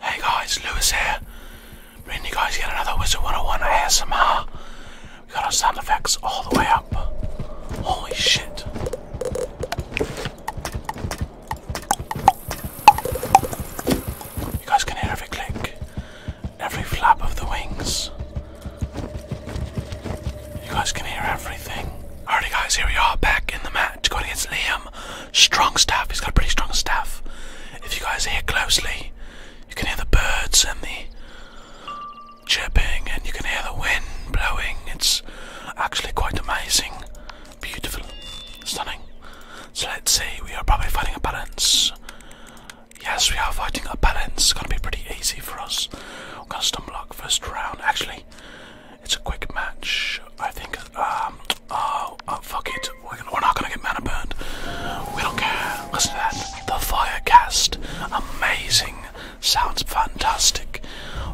Hey guys, Lewis here. Bringing you guys yet another Wizard 101 ASMR. We got our sound effects all the way up. Holy shit. You guys can hear every click, every flap of the wings, you guys can hear everything. Alrighty, guys, here we are back in the match going against Liam. Strong staff, he's got a pretty strong staff. If you guys hear closely, you can hear the birds and the chirping, and you can hear the wind blowing. It's actually quite amazing, beautiful, stunning. So let's see, we are probably fighting a balance. Yes, we are fighting a balance. It's gonna be pretty easy for us. We're gonna stumble block first round. Actually, it's a quick match. I think. Um, oh, oh, fuck it. We're, not gonna get mana burned. We don't care. Listen to that. The fire cast. Amazing. Sounds fantastic.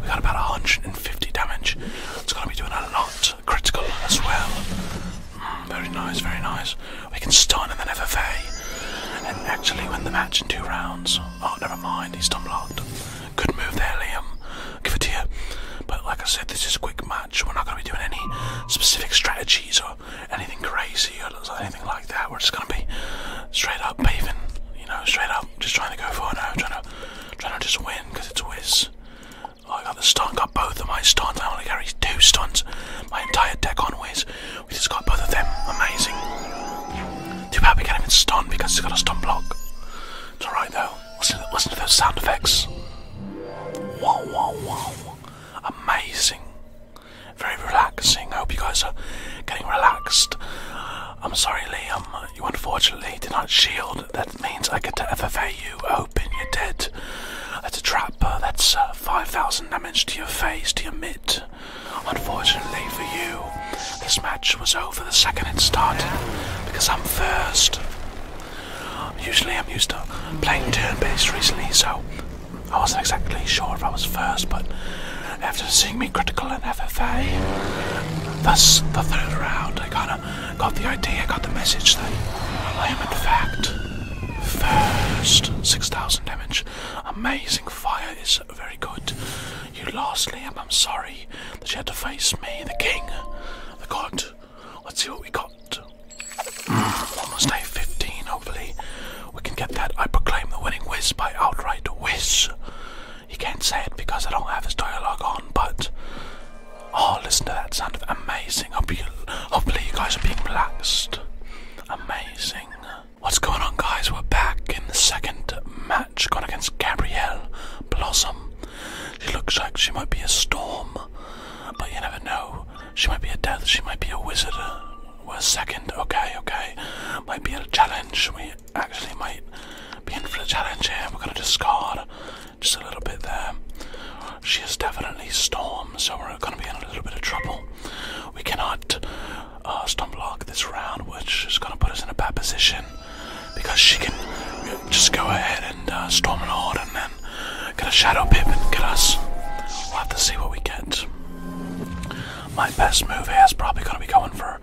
We got about 150 damage. It's gonna be doing a lot. Critical as well. Mm, very nice, very nice. We can stun and then FFA. And actually win the match in two rounds. Oh, never mind, he's locked. Good move there, Liam. give it to you. But like I said, this is a quick match. We're not going to be doing any specific strategies or anything crazy or anything like that. We're just going to be straight up paving, you know, straight up, just trying to go for it now, trying to, trying to just win because it's whiz. Oh, I got the stunt, got both of my stunts. I to carry two stunts. My entire deck on whiz. We just got both of them. Amazing. Too bad we can't even stun because he has got a stun block. It's alright though. Listen to, those sound effects. Wow, wow, wow. Amazing. Very relaxing. I hope you guys are getting relaxed. I'm sorry, Liam. You unfortunately did not shield. That means I get to FFA you. Open, you're dead. That's a trap. That's uh, 5,000 damage to your face, to your mitt. Unfortunately for you, this match was over the second it started because I'm first. Usually I'm used to playing turn based recently, so I wasn't exactly sure if I was first, but after seeing me critical in FFA, thus the third round, I kinda got the idea, got the message that I am in fact first. 6,000 damage. Amazing fire is very good. You lost, Liam. I'm sorry that you had to face me, the king, the god. Let's see what we got. Mm, almost day 15, hopefully. We can get that. I proclaim the winning whiz by outright whiz. You can't say it because I don't have this dialogue on, but. Oh, listen to that sound of amazing. hopefully you guys are being relaxed. Amazing. What's going on, guys? We're back in the second match, going against Gabrielle Blossom. She looks like she might be a storm, but you never know. She might be a death, she might be a wizard. We're second, okay, okay. Might be a challenge. We actually might be in for a challenge here. We're going to discard just a little bit there. She is definitely storm, so we're going to be in a little bit of trouble. We cannot uh, storm block this round, which is going to put us in a bad position because she can just go ahead and uh, Storm Lord and then get a Shadow Pip and get us. We'll have to see what we get. My best move here is probably going to be going for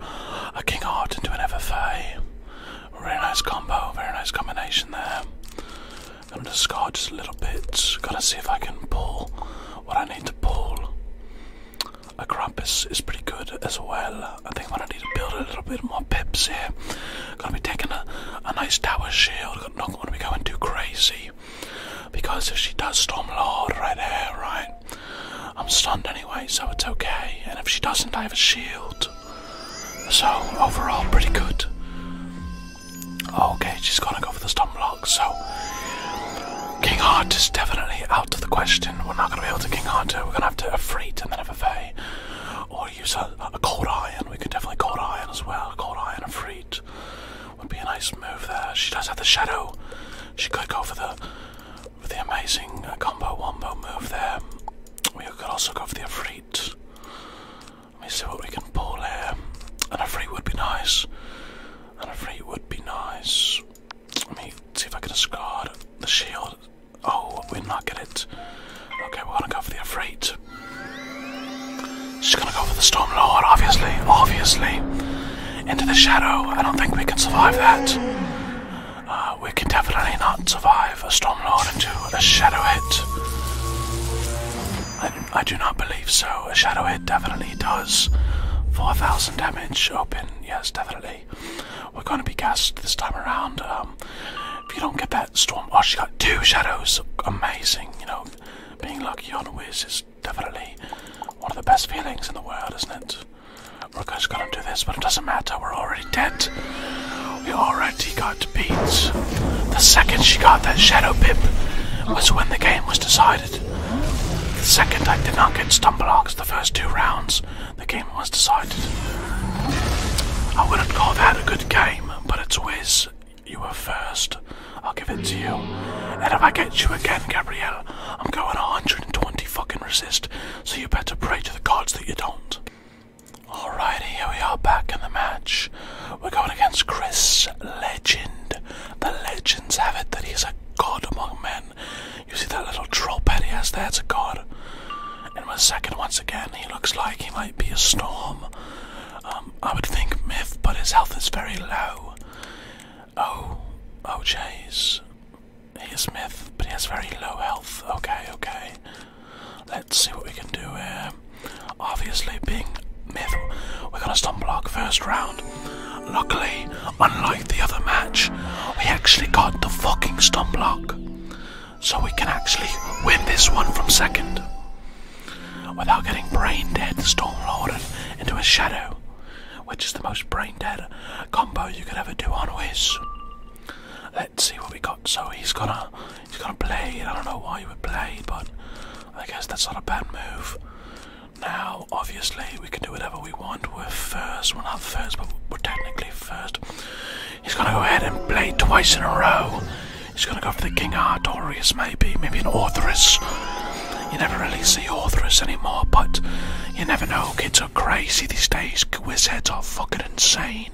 a King Heart into an FFA. Really nice combo, very nice combination there. I'm gonna discard just a little bit. Gotta see if I can pull what I need to pull. A Krampus is pretty good as well. I think I'm gonna need to build a little bit more pips here. Gonna be taking a, a nice tower shield. Not gonna be going too crazy because if she does Stormlord right there, right, I'm stunned anyway, so it's okay. And if she doesn't, I have a shield. So overall, pretty good. Okay, she's gonna go for the Stormlock. So King Heart is definitely out of the question. We're not going to be able to King Heart. We're going to have to a Freight and then a Vevey. Or use a, a Cold Iron. We could definitely Cold Iron as well. Cold Iron and Freight would be a nice move there. She does have the Shadow. She could go for the, for the amazing uh, Combo Wombo move there. We could also go for the Afreet. Let me see what we can pull here. An Afreet would be nice. An Afreet would be nice. Let me see if I can discard the shield. Oh, we're not getting it. Okay, we're gonna go for the Afraid. She's gonna go for the Stormlord, obviously, obviously. Into the shadow. I don't think we can survive that. Uh, we can definitely not survive a Stormlord into a shadow hit. I, I do not believe so. A shadow hit definitely does. 4,000 damage open, yes, definitely. We're going to be gassed this time around. Um, if you don't get that storm, oh, she got two shadows. Amazing, you know. Being lucky on a whiz is definitely one of the best feelings in the world, isn't it? We're just going to do this, but it doesn't matter. We're already dead. We already got beat. The second she got that shadow pip was when the game was decided. The second I did not get stun blocks the first two rounds, the game was decided. I wouldn't call that a good game, but it's always you were first. I'll give it to you. And if I get you again, Gabrielle, I'm going 120 fucking resist, so you better pray to the gods that you don't. Alrighty, here we are back in the match. We're going against Chris Legend. The legends have it that he's a god among men. You see that little troll pet he has there? It's a god. And my second, once again, he looks like he might be a storm. Um, I would think myth, but his health is very low. Oh, oh, jeez. He is myth, but he has very low health. Okay, okay. Let's see what we can do here. Obviously, being myth, we're gonna stun block first round. Luckily, Unlike the other match, we actually got the fucking stun block. So we can actually win this one from second. Without getting brain dead, Stormlord into a shadow. Which is the most brain dead combo you could ever do on Wiz. Let's see what we got. So he's gonna he's gonna play. I don't know why he would play, but I guess that's not a bad move. Now, obviously, we can do whatever we want. We're first. We're not first, but we're technically first. He's gonna go ahead and play twice in a row. He's gonna go for the King Artorius, maybe, maybe an Authoress. You never really see Authoress anymore, but you never know. Kids are crazy these days. Quiz heads are fucking insane.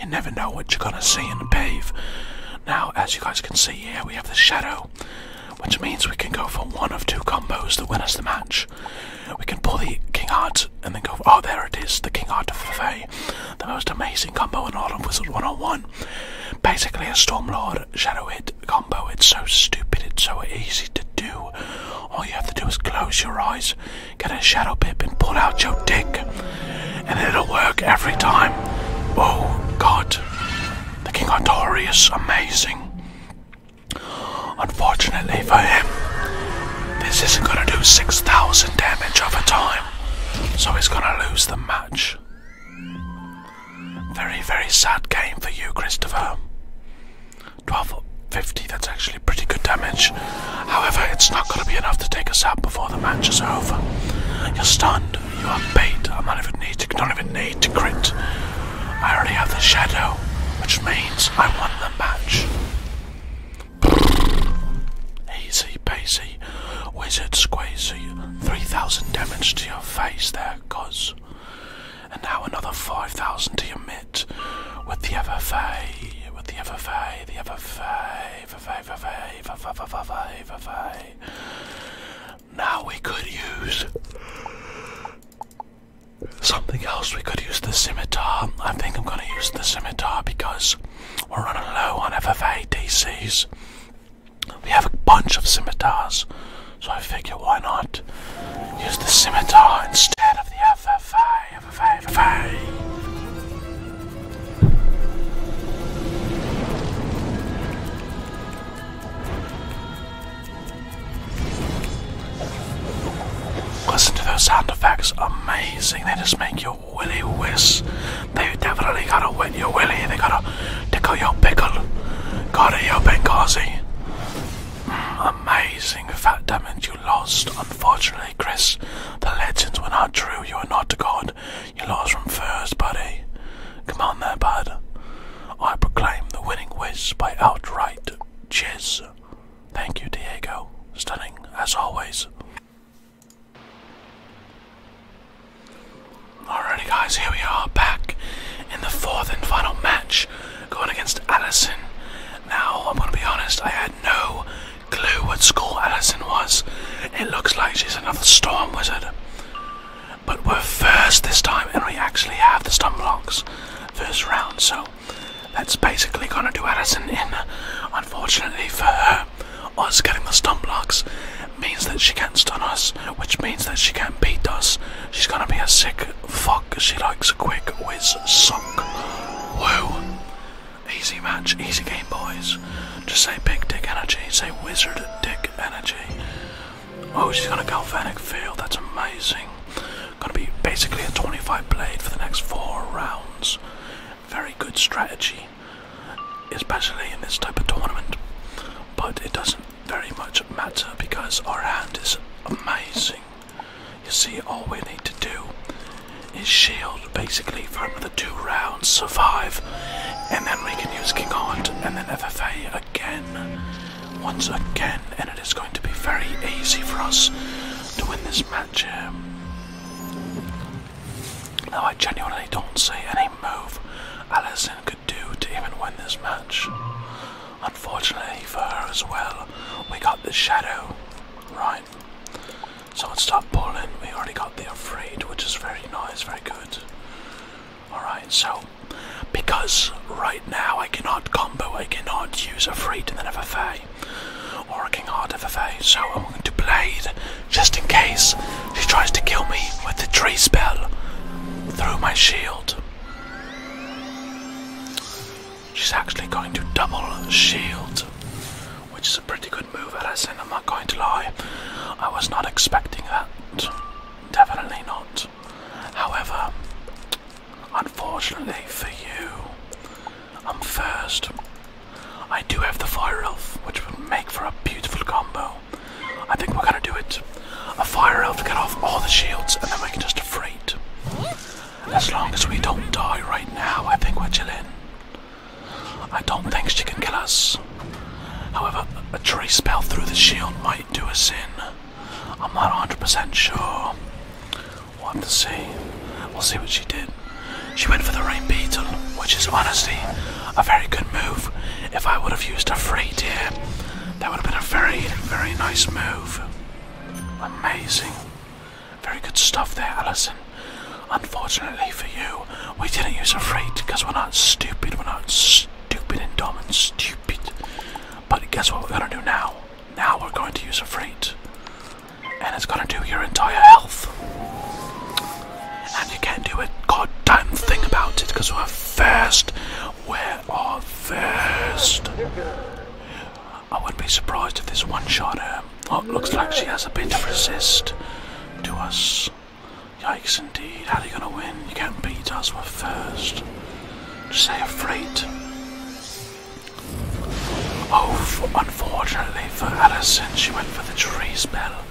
You never know what you're gonna see in the pave. Now, as you guys can see here, we have the Shadow, which means we can go for one of two combos to win us the match. We can pull the King Heart and then go. Oh, there it is, the King Heart of the Fae. The most amazing combo in all of Wizard 101. Basically, a Storm Lord Shadow It combo. It's so stupid, it's so easy to do. All you have to do is close your eyes, get a Shadow Pip, and pull out your dick. And it'll work every time. Oh, God. The King of the is amazing. Unfortunately for him, this isn't going to do 6,000 damage over time, so he's going to lose the match. Very, very sad game for you, Christopher. 1250, that's actually pretty good damage. However, it's not going to be enough to take us out before the match is over. You're stunned, you are bait, I don't even need to, don't even need to crit. I already have the shadow, which means I won the match. Easy peasy, wizard squeezy, 3000 damage to your face there, cuz. And now another 5000 to your mitt with the FFA, with the FFA, the FFA, FFA, FFA, FFA, FFA, FFA. Now we could use Something else we could use the scimitar. I think I'm gonna use the scimitar because we're running low on FFA DCs. We have a bunch of scimitars, so I figure why not use the scimitar instead of the FFA, FFA, FFA. Listen to those sound effects, amazing. They just make your willy whiz. They definitely gotta wet your willy, they gotta tickle your pickle. Gotta your Benghazi. Mm, amazing fat damage you lost. Unfortunately, Chris, the legends were not true. You are not a god. You lost from first, buddy. Come on there, bud. I proclaim the winning whiz by outright jizz. Thank you, Diego. Stunning, as always. Alrighty, guys, here we are back in the fourth and final match going against Allison. Now, I'm going to be honest, I had no clue what school Allison was. It looks like she's another storm wizard. But we're first this time, and we actually have the stun blocks first round, so that's basically gonna do Addison in. Unfortunately for her, us getting the stun blocks means that she can't stun us, which means that she can't beat us. She's gonna be a sick fuck. She likes a quick whiz suck. Whoa. Easy match, easy game, boys. Just say big dick energy, say wizard dick energy. Oh, she's gonna galvanic field. That's amazing. Gonna be basically a 25 blade for the next four rounds. Very good strategy, especially in this type of tournament. But it doesn't very much matter because our hand is amazing. You see, all we need to do is shield basically for another two rounds, survive, and then we can use King Hunt and then FFA again. Once again, and it is going to be very easy for us to win this match Now, I genuinely don't see any move Allison could do to even win this match. Unfortunately for her as well, we got the shadow, right? So it's top pulling. We already got the afraid, which is very nice, very good. Alright, so because right now I cannot combo, I cannot use a free to then FFA or a King Heart FFA, so I'm going to Blade just in case she tries to kill me with the tree spell through my shield. She's actually going to double shield, which is a pretty good move, Alison, I'm not going to lie. I was not expecting that, definitely not. However, Unfortunately for you, I'm first. I do have the fire elf, which will make for a beautiful combo. I think we're gonna do it. A fire elf to get off all the shields, and then we can just freight. As long as we don't die right now, I think we're chilling. I don't think she can kill us. However, a tree spell through the shield might do us in. I'm not 100% sure. We'll have to see. We'll see what she did. She went for the rain beetle, which is honestly a very good move. If I would have used a free tier, that would have been a very, very nice move. Amazing. Very good stuff there, Alison. Unfortunately for you, we didn't use a freight because we're not stupid. We're not stupid and dumb and stupid. But guess what we're gonna do now? Now we're going to use a freight. And it's gonna do your entire health. And you can't do a goddamn thing about it because we're first. We are first. I wouldn't be surprised if this one shot her. Um, oh, looks like she has a bit of resist to us. Yikes indeed. How are you gonna win? You can't beat us, we're first. say a freight. Oh, unfortunately for Alison, she went for the tree spell.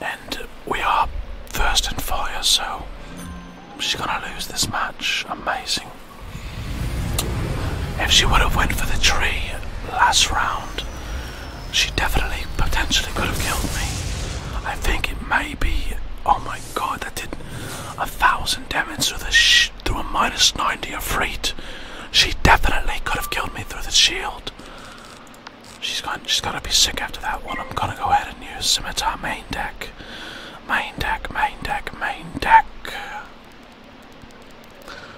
And we are first in fire, so she's gonna lose this match. Amazing. If she would have went for the tree last round, she definitely potentially could have killed me. I think it may be. Oh my god, that did a thousand damage through the through a minus 90 of freight. She definitely could have killed me through the shield. She's going gone she's to be sick after that one. I'm gonna go ahead and use Scimitar main deck. Main deck, main deck, main deck.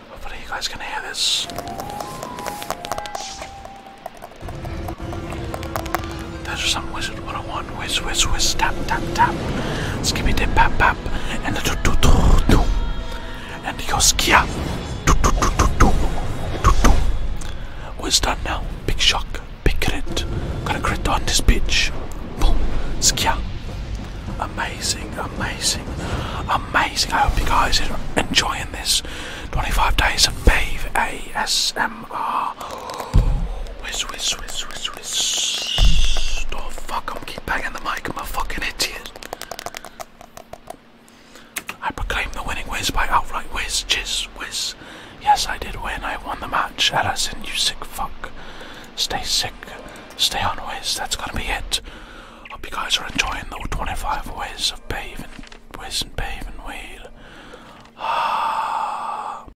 Hopefully you guys can hear this. There's some wizard 101. Whiz, whiz, whiz, tap, tap, tap. Skippy dip, pap, pap. And the do, do, do, do. And Yoskia. Do, do, do, do, do. Do, do. What's done now? Big shock. Big crit. Gonna crit on this bitch. Boom. Skia. Amazing, amazing, amazing. I hope you guys are enjoying this. 25 days of Bave ASMR. Whiz, whiz, whiz, whiz, whiz. Oh fuck, I'm keep banging the mic, I'm a fucking idiot. I proclaim the winning whiz by outright whiz, jizz, whiz. Yes, I did win, I won the match. Ellison. you sick fuck. Stay sick, stay on whiz, that's gonna be it. Hope you guys are enjoying the 25 ways of bathing, whiz and bathing wheel. Ah.